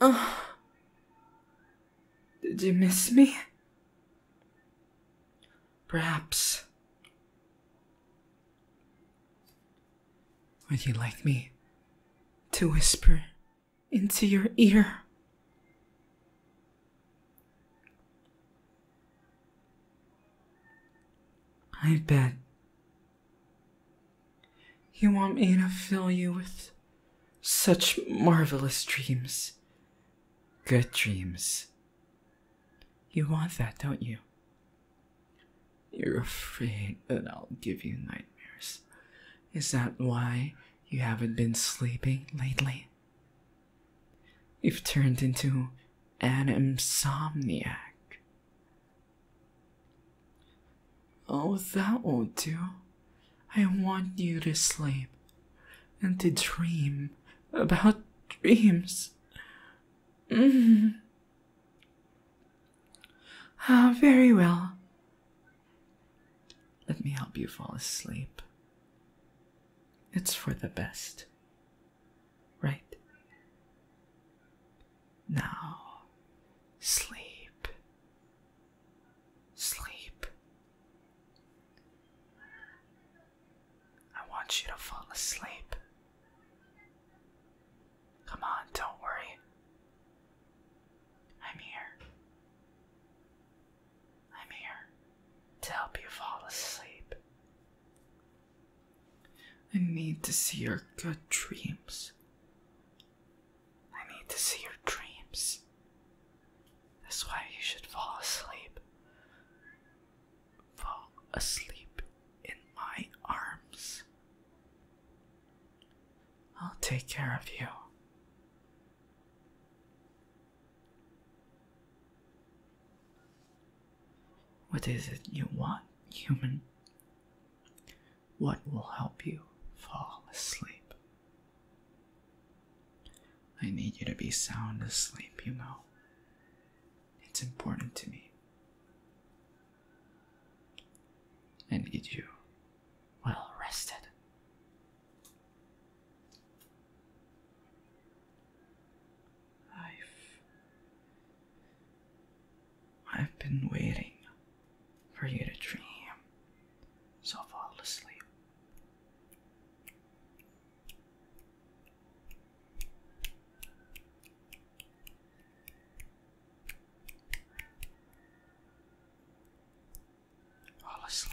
Oh. Did you miss me? Perhaps. Would you like me to whisper into your ear? I bet you want me to fill you with such marvelous dreams. Good dreams. You want that, don't you? You're afraid that I'll give you nightmares. Is that why you haven't been sleeping lately? You've turned into an insomniac. Oh, that won't do. I want you to sleep and to dream about dreams. Mm-hmm. Ah, very well. Let me help you fall asleep. It's for the best, right? Now sleep. Sleep. I want you to fall asleep. Come on, don't worry. I'm here. I'm here to help you fall asleep. I need to see your good dreams. I need to see your dreams. That's why you should fall asleep. Fall asleep in my arms. I'll take care of you. What is it you want, human? what will help you fall asleep. I need you to be sound asleep, you know. It's important to me. I need you well rested. i I've been waiting for you to dream, so fall asleep. Fall asleep.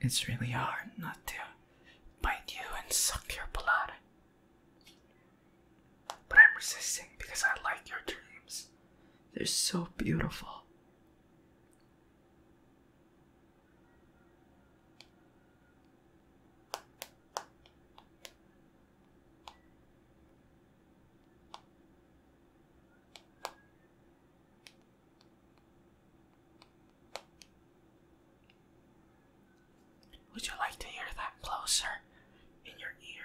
It's really hard not to bite you and suck your blood. But I'm resisting because I like your dreams. They're so beautiful. Would you like to hear that closer in your ear?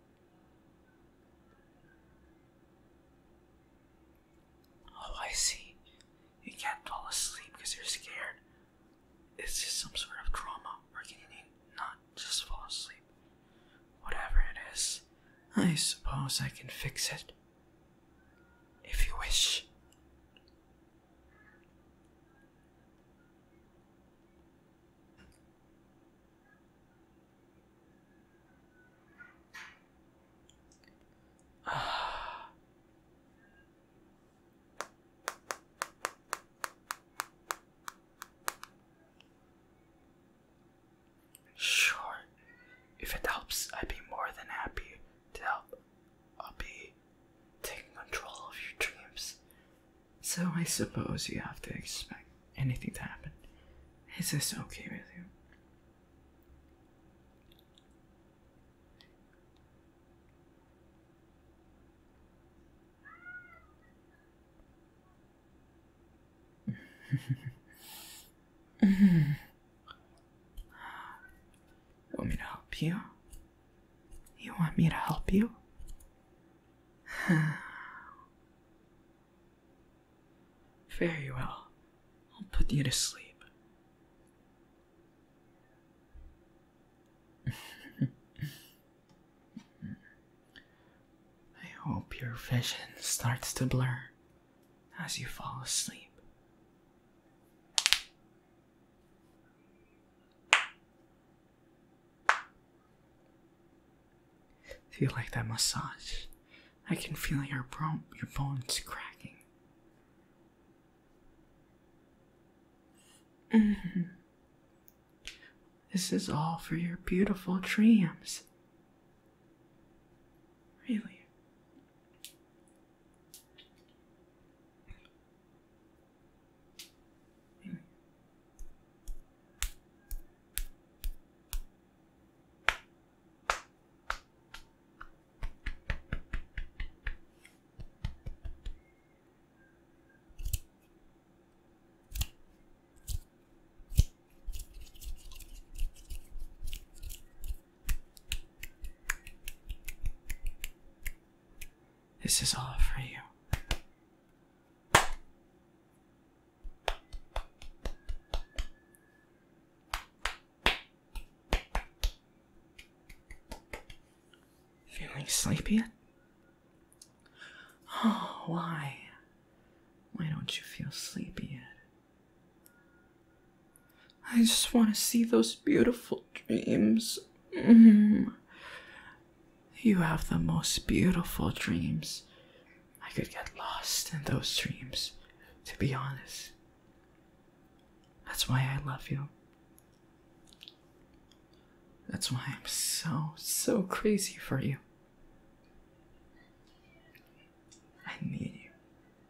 Oh, I see. You can't fall asleep because you're scared. It's just some sort of trauma working in you, not just fall asleep. Whatever it is, I suppose I can fix it. If you wish sure, if it helps, I'd be more than happy to help. I'll be taking control of your dreams so I suppose you have to expect anything to happen. Is this okay with you? want me to help you? You want me to help you? Very well. I'll put you to sleep. I hope your vision starts to blur as you fall asleep you like that massage. I can feel your, bro your bones cracking. Mm-hmm. This is all for your beautiful dreams. Really? This is all for you. Feeling sleepy yet? Oh, why? Why don't you feel sleepy yet? I just want to see those beautiful dreams. -hmm. You have the most beautiful dreams. I could get lost in those dreams, to be honest. That's why I love you. That's why I'm so, so crazy for you. I need you.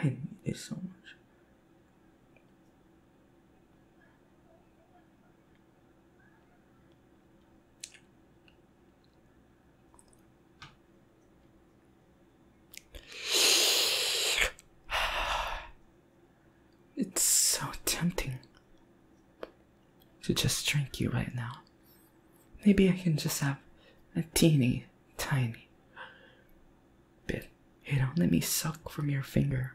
I need you so much. It's so tempting to just drink you right now. Maybe I can just have a teeny tiny bit. You know, let me suck from your finger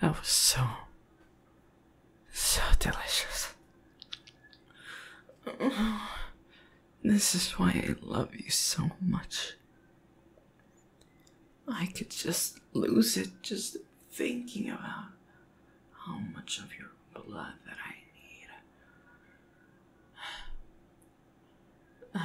That was so, so delicious. this is why I love you so much. I could just lose it just thinking about how much of your blood that I need.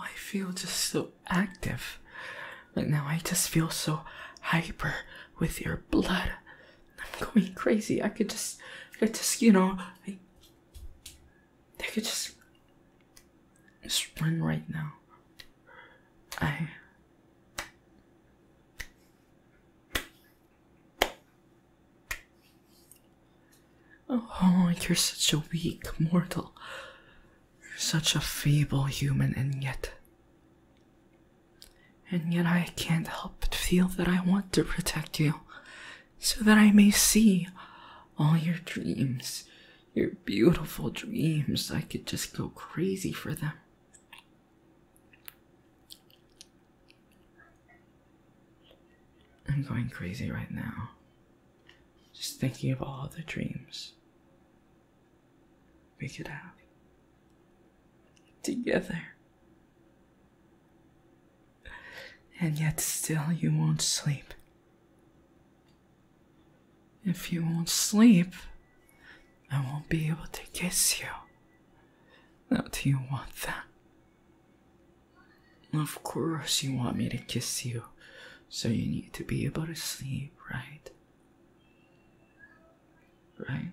I feel just so active. Like now I just feel so hyper with your blood. I'm going crazy. I could just I could just you know I, could just just run right now. I Oh, you're such a weak mortal. You're such a feeble human, and yet. And yet, I can't help but feel that I want to protect you so that I may see all your dreams, your beautiful dreams. I could just go crazy for them. I'm going crazy right now, just thinking of all the dreams we it have together. And yet, still, you won't sleep. If you won't sleep, I won't be able to kiss you. Now, do you want that? Of course, you want me to kiss you. So you need to be able to sleep, right? Right?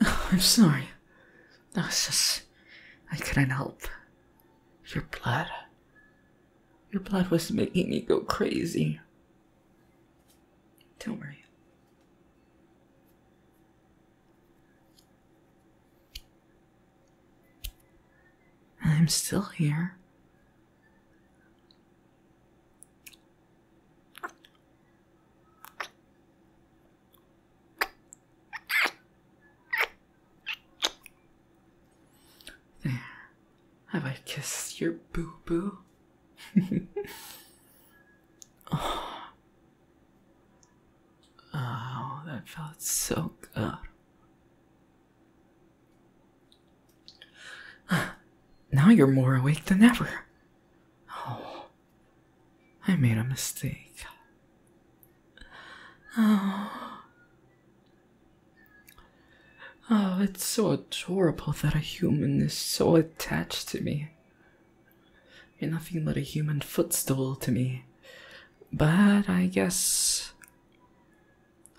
I'm sorry. No, was just I couldn't help. Your blood. Your blood was making me go crazy. Don't worry. I'm still here. There. Have I kissed your boo boo? oh. oh, that felt so good. Now you're more awake than ever. Oh, I made a mistake. Oh. Oh, it's so adorable that a human is so attached to me. You're nothing but a human footstool to me. But I guess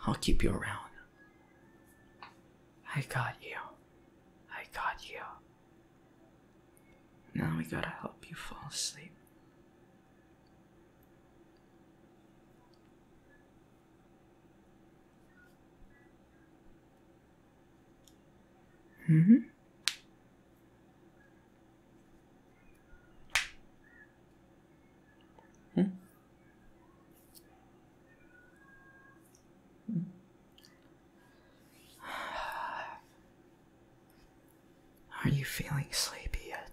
I'll keep you around. I got you. I got you. Now we gotta help you fall asleep. Mm hmm. Hmm. Hmm. Are you feeling sleepy yet?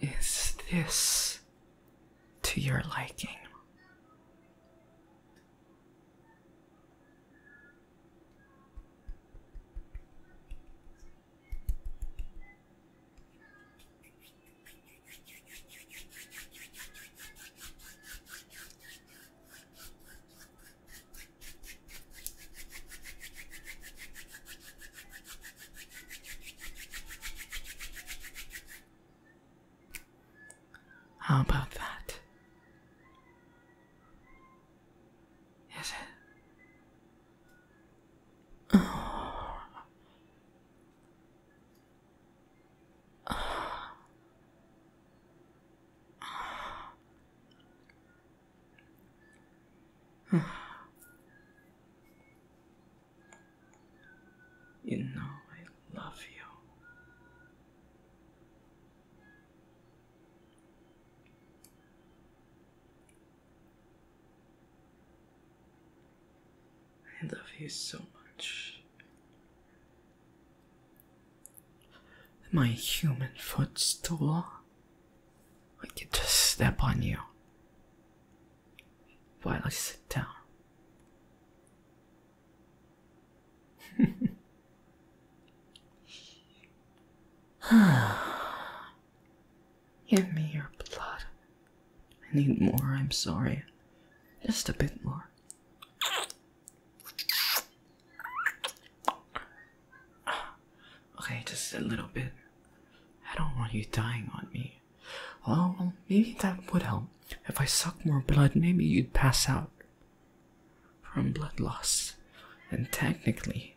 Is this to your liking? How about that? Is it? You know I love you. I love you so much. My human footstool. I could just step on you while I sit down. Give me your blood. I need more, I'm sorry. Just a bit more. Okay, just a little bit. I don't want you dying on me. well, maybe that would help. If I suck more blood, maybe you'd pass out from blood loss. And technically,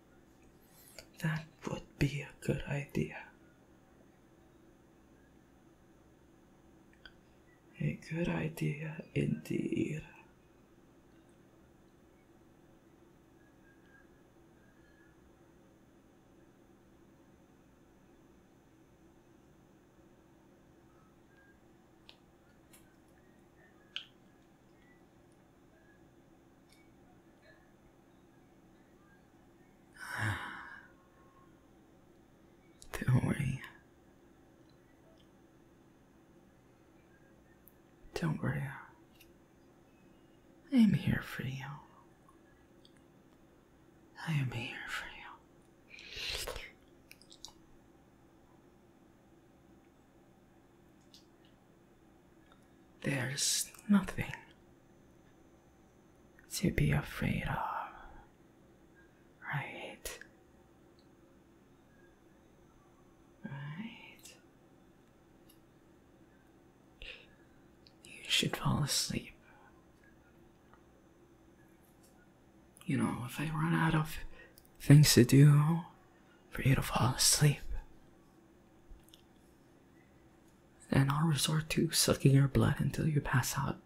That would be a good idea. A good idea indeed. Don't worry. Don't worry. I am here for you. I am here for you. There's nothing to be afraid of, right? Right? You should fall asleep. You know, if I run out of things to do for you to fall asleep, and I'll resort to sucking your blood until you pass out.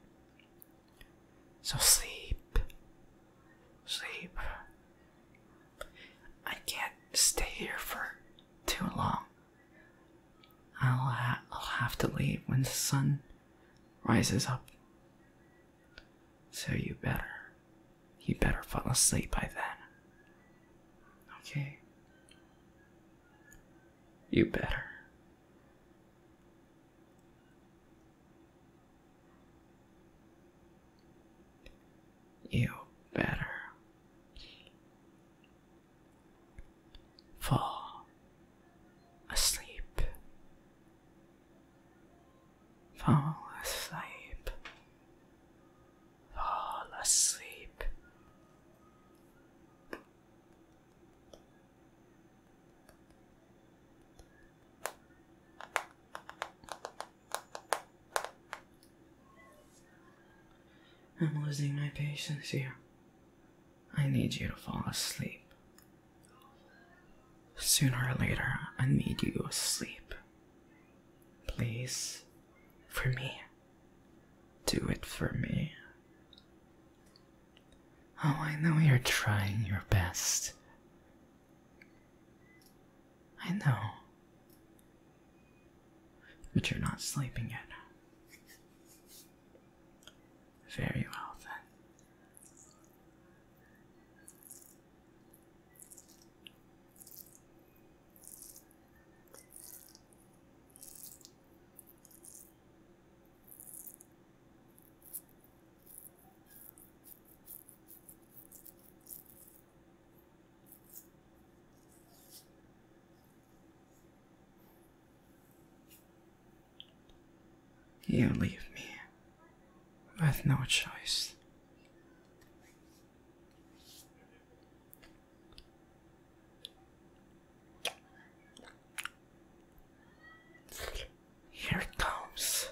So sleep. Sleep. I can't stay here for too long. I'll, I'll have to leave when the sun rises up. So you better, you better fall asleep by then. Okay. You better. You better fall asleep. Fall asleep fall asleep. I'm losing my patience here. I need you to fall asleep. Sooner or later, I need you asleep. Please for me. Do it for me. Oh, I know you're trying your best. I know. But you're not sleeping yet. Very well, then. You leave me with no choice. Here it comes.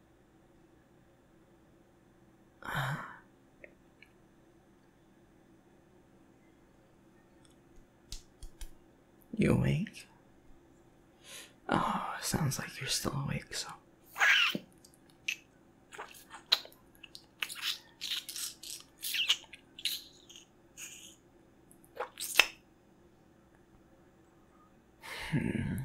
You awake? Oh, sounds like you're still awake, so. Hmm.